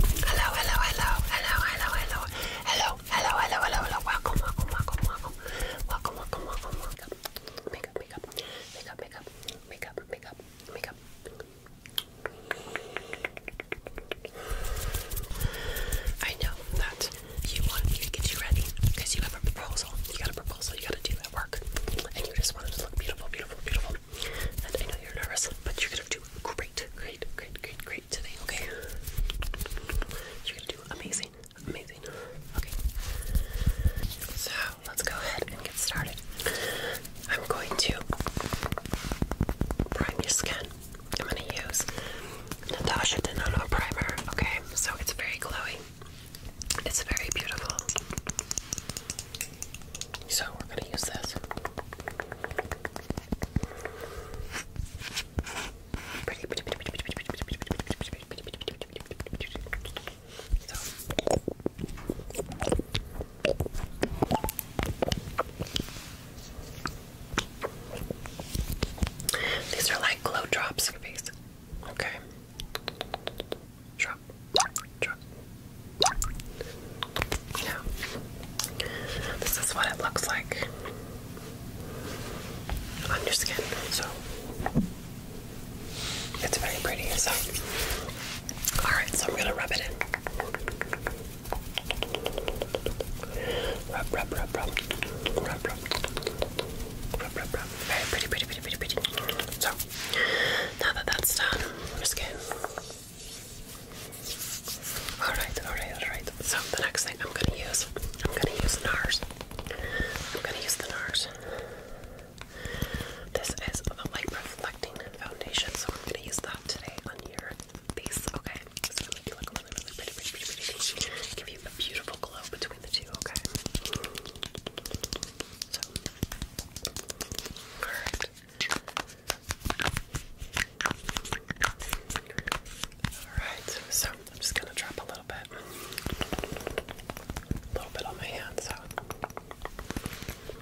Hello, hello, hello, hello, hello, hello, hello, hello, hello, hello, hello. Welcome, welcome, welcome, welcome, welcome, welcome, welcome, welcome. Makeup, makeup, makeup, makeup, makeup, makeup, makeup. I know that you want me to get you ready because you have a proposal. You got a proposal you got to do that work, and you just want to look beautiful, beautiful, beautiful. And I know you're nervous, but you're gonna do great, great, great, great, great today, okay? You're gonna do amazing, amazing, okay? So let's go ahead and get started. I'm going to prime your skin. I'm gonna use Natasha Denona primer, okay? So it's very glowy. It's very beautiful. So we're gonna use this. These are like glow drops, face. Okay. Drop, this is what it looks like on your skin. So it's very pretty. So, all right. So I'm gonna rub it in. Rub, rub, rub, rub, rub, rub, rub, rub, rub. Very pretty, pretty, pretty, pretty, pretty. So now that that's done, your skin. Alright, alright, alright. So the next thing I'm gonna use, I'm gonna use NARS. I'm gonna use the NARS. This is a light reflecting foundation, so I'm gonna use that today on your face. Okay. It's make you look really, really pretty, pretty, pretty, pretty, pretty. Give you a beautiful glow between the two, okay? alright. Alright, so I'm just gonna drop a little bit. A little bit on my hand, so.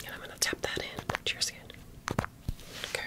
And I'm gonna tap that in to your skin. Okay.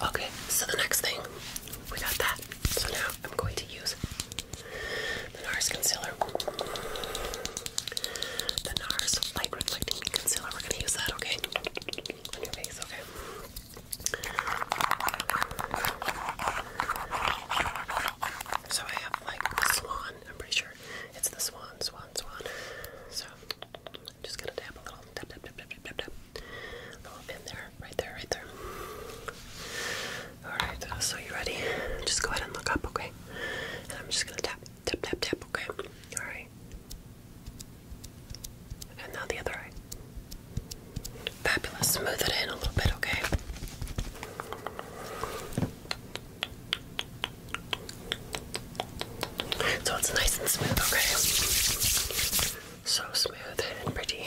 Okay, so the next thing, we got that. So now I'm going to use the NARS concealer. The NARS Light Reflecting Concealer. We're going to use that, okay? On your face, okay? So I have like Swan, I'm pretty sure picture. It's the swan, swan, swan. So I'm just gonna dab a little, dab, dab, dab, dab, dab, dab, dab. A little in there, right there, right there. All right. So you ready? Just go ahead and look up, okay? And I'm just gonna tap, tap, tap, tap, okay? All right. And now the other eye. Fabulous. Smooth it in a little bit, okay? So it's nice and smooth, okay? So smooth and pretty.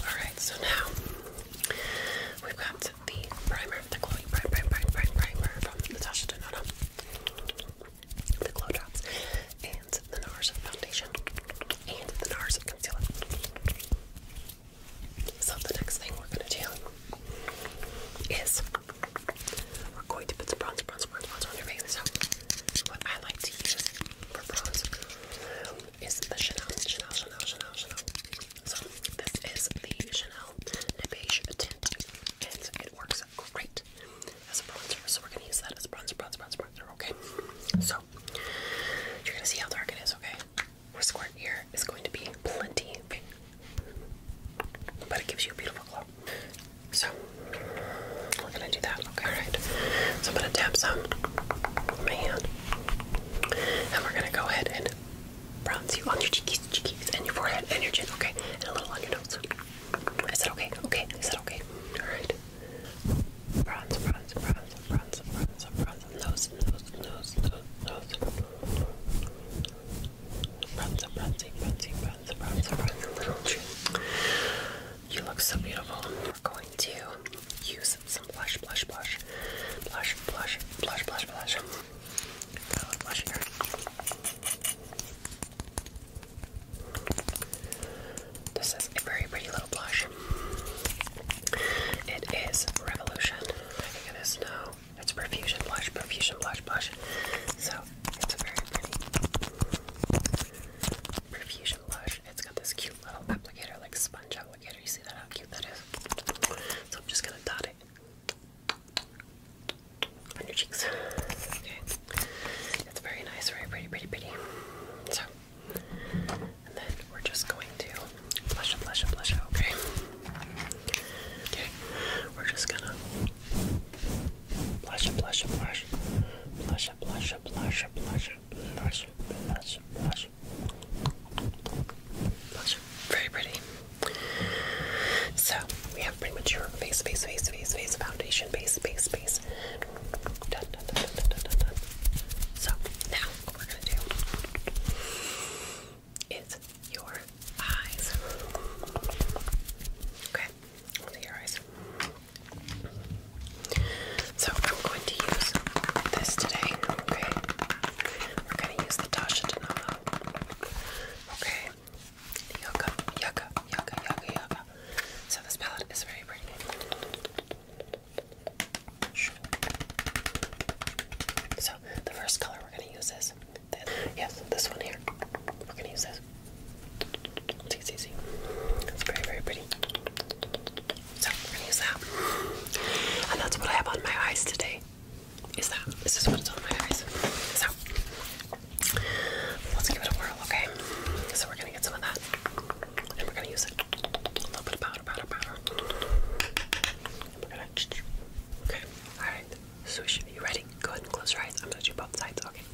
Alright, so now we've got the primer, the glowy prime, prime, prime, primer from Natasha Denona, the Glow Drops, and the NARS foundation, and the NARS concealer. So, the next thing we're going to do is we're going to put some bronzer, bronzer, bronzer, on your face. So, what I like to use for bronze is the Chanel, Chanel, Chanel, Chanel, Chanel. So, this is the Chanel Beige Tint, and it works great as a bronzer. So, we're going to use that as a bronzer, bronzer, bronzer, bronzer, okay? So, you're going to see how dark it is, okay? or square ear is going to be plenty pink. But it gives you a beautiful glow. So we're gonna do that. Okay, alright. So I'm gonna tap some with my hand. And we're gonna go ahead and bronze you on your cheekies, cheekies, and your forehead and your chin, okay? And a little on your nose. Is that okay? Okay, is that okay? Alright. Bronze, bronze, bronze, bronze, bronze, bronze, nose, nose, nose, nose, nose. You look so beautiful. We're going to use some blush, blush, blush, blush, blush, blush, blush, blush. This is a very pretty little blush. It is Revolution. I think it is now. It's perfusion blush, perfusion blush, blush. So it's a very pretty perfusion blush. It's got this cute little applicator, like sponge applicator. You see that how cute that is? So I'm just gonna dot it on your cheeks. Okay. It's very nice, very pretty, pretty, pretty. So and then we're just going to blush up, blush up, blush okay? Okay, we're just gonna blush, blush, blush, blush, blush, blush, blush, blush, blush, blush, blush. Very pretty. So we have pretty much your face, face, face, face, face, foundation, base, base, base. Done, done, done, done, done, done, So now we're gonna do is your eyes. Okay, let's your eyes. So I'm going to use this today. Okay, we're going to use the Tasha Denala. Okay, yucca, yucca, yucca, yucca, yucca. So this palette is very pretty. So the first color we're going to use is this. Yes, this one here. We're gonna use this. See, see, see. It's very, very pretty. So we're gonna use that. And that's what I have on my eyes today. Is that? This is what's on my eyes. So let's give it a whirl, okay? So we're gonna get some of that, and we're gonna use it. A little bit of powder, powder, we're gonna Okay, alright. Swoosh, you ready? Go ahead and close your eyes. I'm gonna do both sides, okay?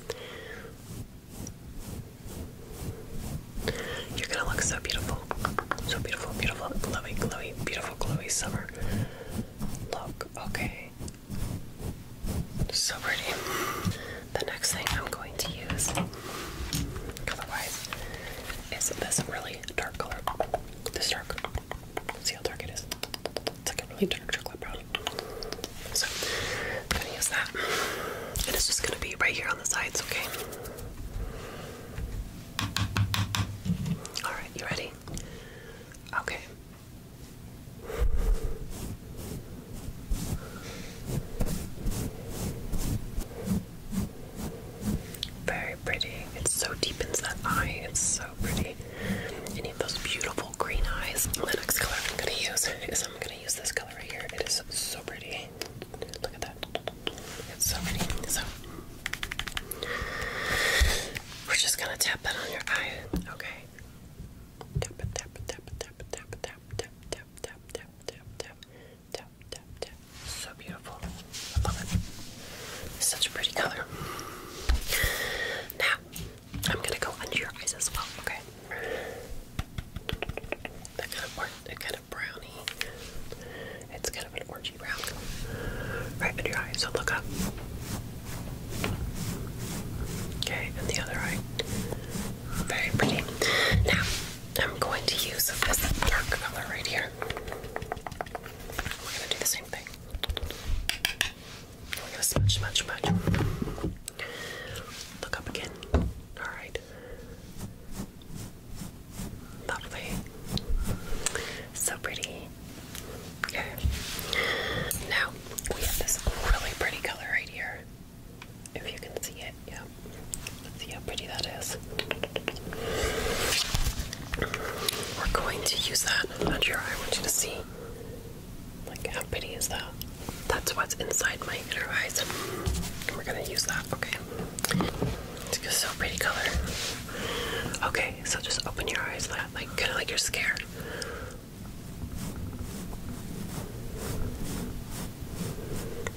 You're gonna look so beautiful. So beautiful, beautiful, glowy, glowy, beautiful, glowy summer. Look, okay. So pretty. The next thing I'm going to use, color-wise, is this really dark color. This dark. See how dark it is. It's like a really dark chocolate brown. So I'm gonna use that. it's just gonna be right here on the sides, okay? Alright, you ready? Okay. Very it's so deep so that eye. It's so pretty. Any of those beautiful green eyes. next color I'm gonna use is I'm gonna use this color right here. It is so pretty. Look at that. It's so pretty. So we're just gonna tap that on your eye. Okay. Tap tap tap tap tap tap tap tap tap tap tap tap So beautiful. I love it. Such a pretty color. Now, I'm gonna go under your eyes as well, okay? That kind of, that kind of brownie. It's kind of an orangey brown. Right under your eye, so look up. Okay, and the other eye. Very pretty. Now, I'm going to use this dark color right here. We're gonna do the same thing. We're gonna smudge, smudge, smudge. Look up again. Alright. Lovely. So pretty. Okay. Now we have this really pretty color right here. If you can see it, yeah. Let's see how pretty that is. We're going to use that under your eye. I want you to see. Like, how pretty is that? That's what's inside my inner eyes. we're going to use that, okay? It's just so pretty color. Okay, so just open your eyes, that, like, kind of like you're scared.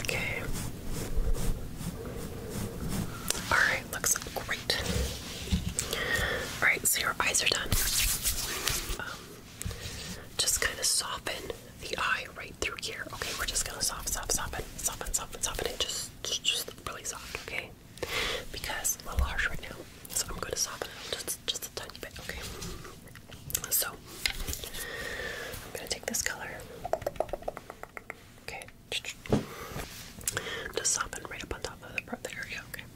Okay. Alright right, looks great. All right, so your eyes are done. Um, just kind of soften the eye right through here. Okay, we're just gonna soft, soft, soften, soften, soften, soften it. Just, just, really soft. Okay, because a little harsh right now, so I'm gonna soften it just, just a tiny bit. Okay. So I'm gonna take this color. Okay. Just soften right up on top of the there. okay?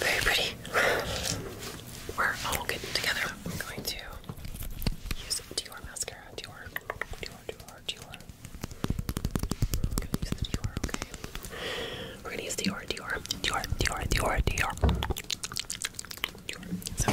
very pretty. We're all getting together. I'm going to use Dior mascara. Dior, Dior, Dior, Dior. I'm going to use the Dior, okay? We're going to use Dior, Dior, Dior, Dior, Dior, Dior. Dior. So.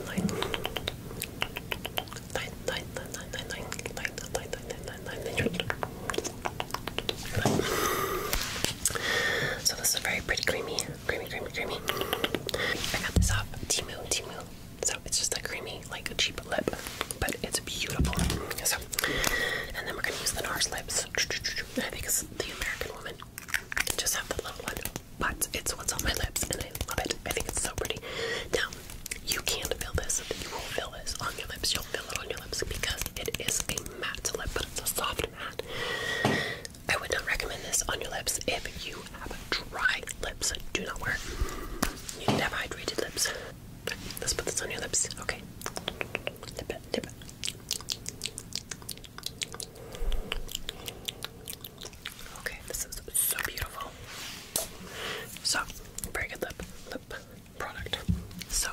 nine, nine, nine, nine, nine, nine, nine, nine, nine, nine, nine, nine. So this is very pretty creamy, creamy, creamy, creamy. I got this off Timu, Timu. So it's just like creamy, like a cheap lip, but it's beautiful. So, and then we're gonna use the NARS lips. I think it's the American woman. Just have the little one but it's what's on my lips and I love it. I think it's so pretty. Now, you can feel this. You will feel this on your lips. You'll feel it on your lips because it is a matte lip, but it's a soft matte. I would not recommend this on your lips if you have dry lips. Do not wear You need to have hydrated lips. Let's put this on your lips. Okay. Dip it, dip it. Okay, this is so beautiful. So, very good lip lip product. So,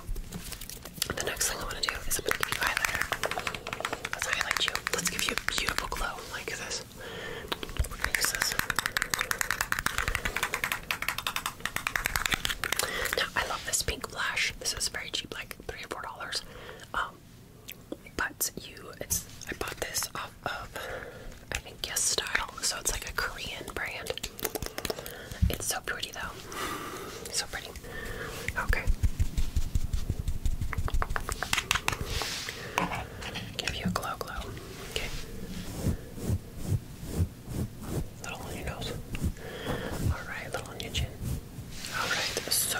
the next thing I want to do is I'm going to give you highlighter. Let's highlight you. Let's give you a beautiful glow like this. we this. Now, I love this pink blush. This is very cheap, like three or four dollars. Um, but you, it's I bought this off of I think Yes Style, so it's like a Korean brand. It's so pretty though, so pretty. Okay, give you a glow, glow. Okay, little on your nose. All right, little on your chin. All right, so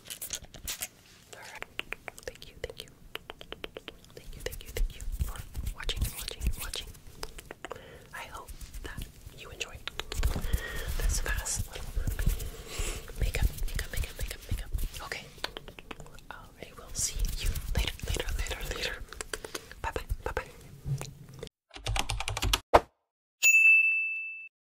Alright. Thank you, thank you. Thank you, thank you, thank you watching watching watching. I hope that you enjoyed this fast little makeup, makeup, makeup, makeup, makeup. Okay. I will see you later, later, later, later. Bye bye, bye bye.